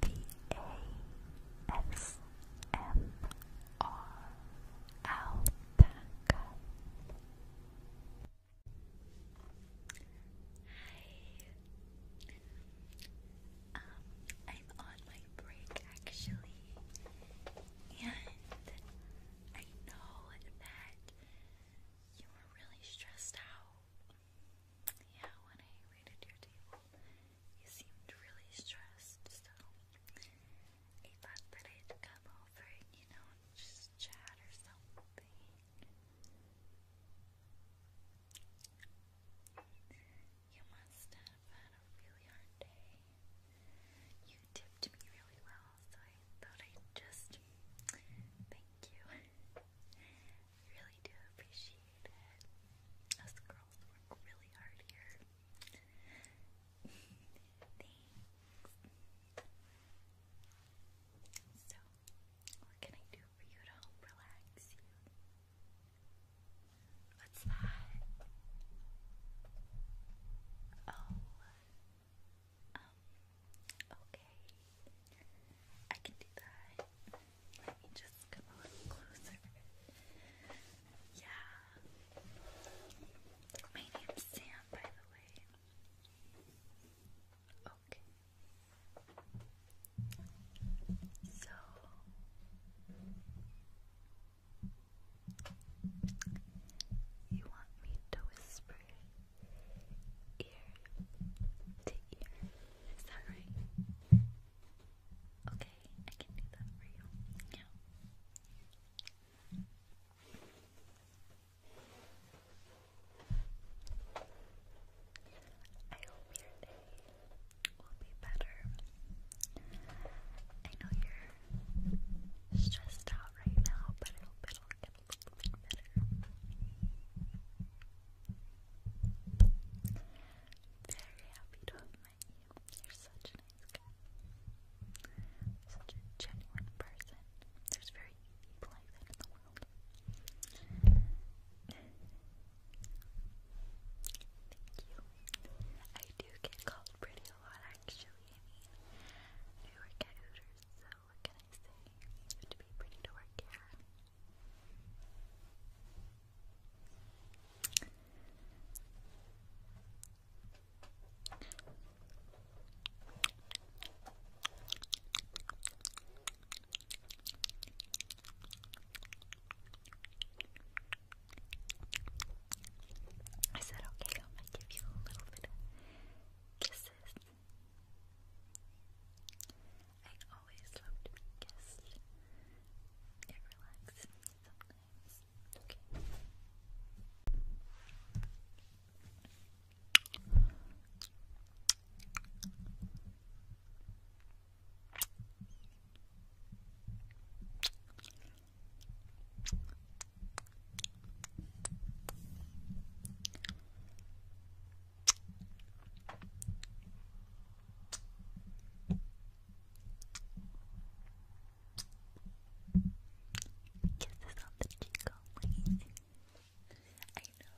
B-A-S-M-R Hi um, I'm on my break actually, and I know that you were really stressed out yeah, when I raided your table, you seemed really stressed, so I thought that I'd come over, you know, and just chat or something. You must have had a really hard day. You tipped me really well, so I thought I'd just thank you really do appreciate it. Us girls work really hard here. Thanks. So, what can I do for you to relax What's that? Oh. Um, okay. I can do that. Let me just come a little closer. Yeah. My name's Sam, by the way. Okay. So. You want me to whisper ear to Is that right? Okay, I can do that for you. I hope your day will be better. I know you're stressed out right now, but it'll get a little bit better. Very happy to have met you. You're such a nice guy. Such a genuine person. There's very few like that in the world. Thank you. I do get called pretty a lot actually. I work at Hooters, so can I to be pretty to work here. I said, okay, I'm give you a little bit kisses I always love to kissed. It relaxes me sometimes. Kisses on the cheek only. I know.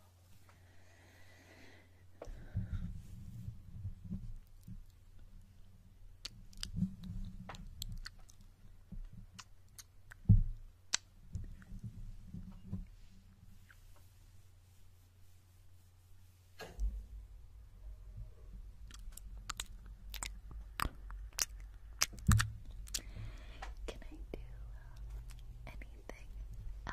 Can I do uh, anything else for you? Maybe touch Okay. Um,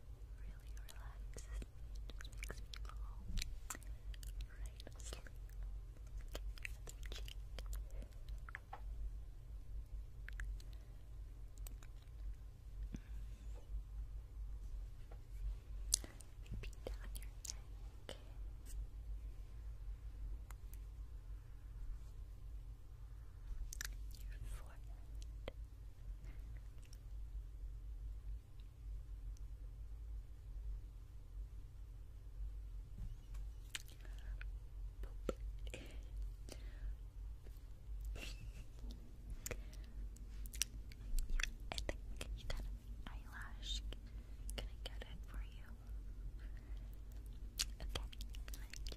really relaxes me and just makes me fall right asleep. Look at your other cheek. Maybe down your neck. Down your neck your forehead. yeah, you got an eyelash. Can I get it for you? Okay,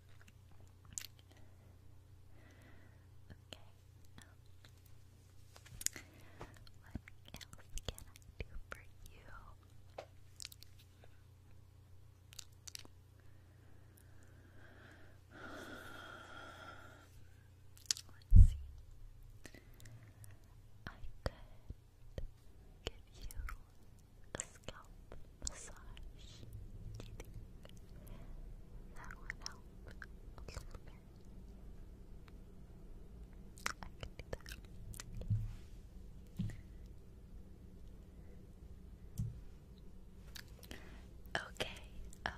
Okay. what else can I do for you? Let's see. I could give you a scalp massage. Do you think that would help a little I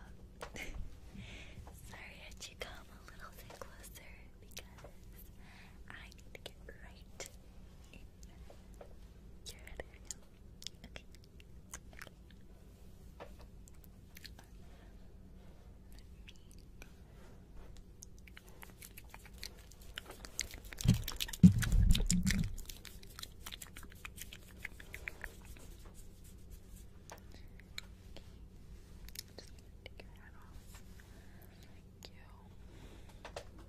had um, you come a little bit closer because I need to get right in your head Okay. Just gonna take your hat off. Thank you.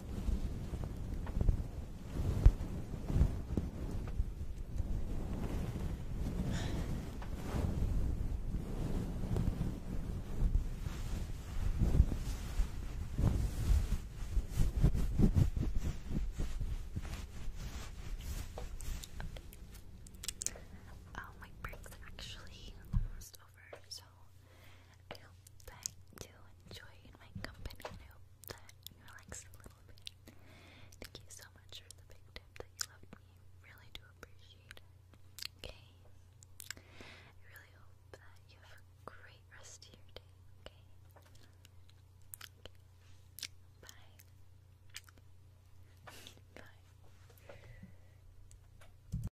Oh, my break's actually almost over, so I hope that you enjoyed my company I hope that you relaxed a little bit. Thank you so much for the big tip that you loved me. Really do appreciate it. Okay. really hope that you have a great rest of your day. Okay. okay. Bye. Bye.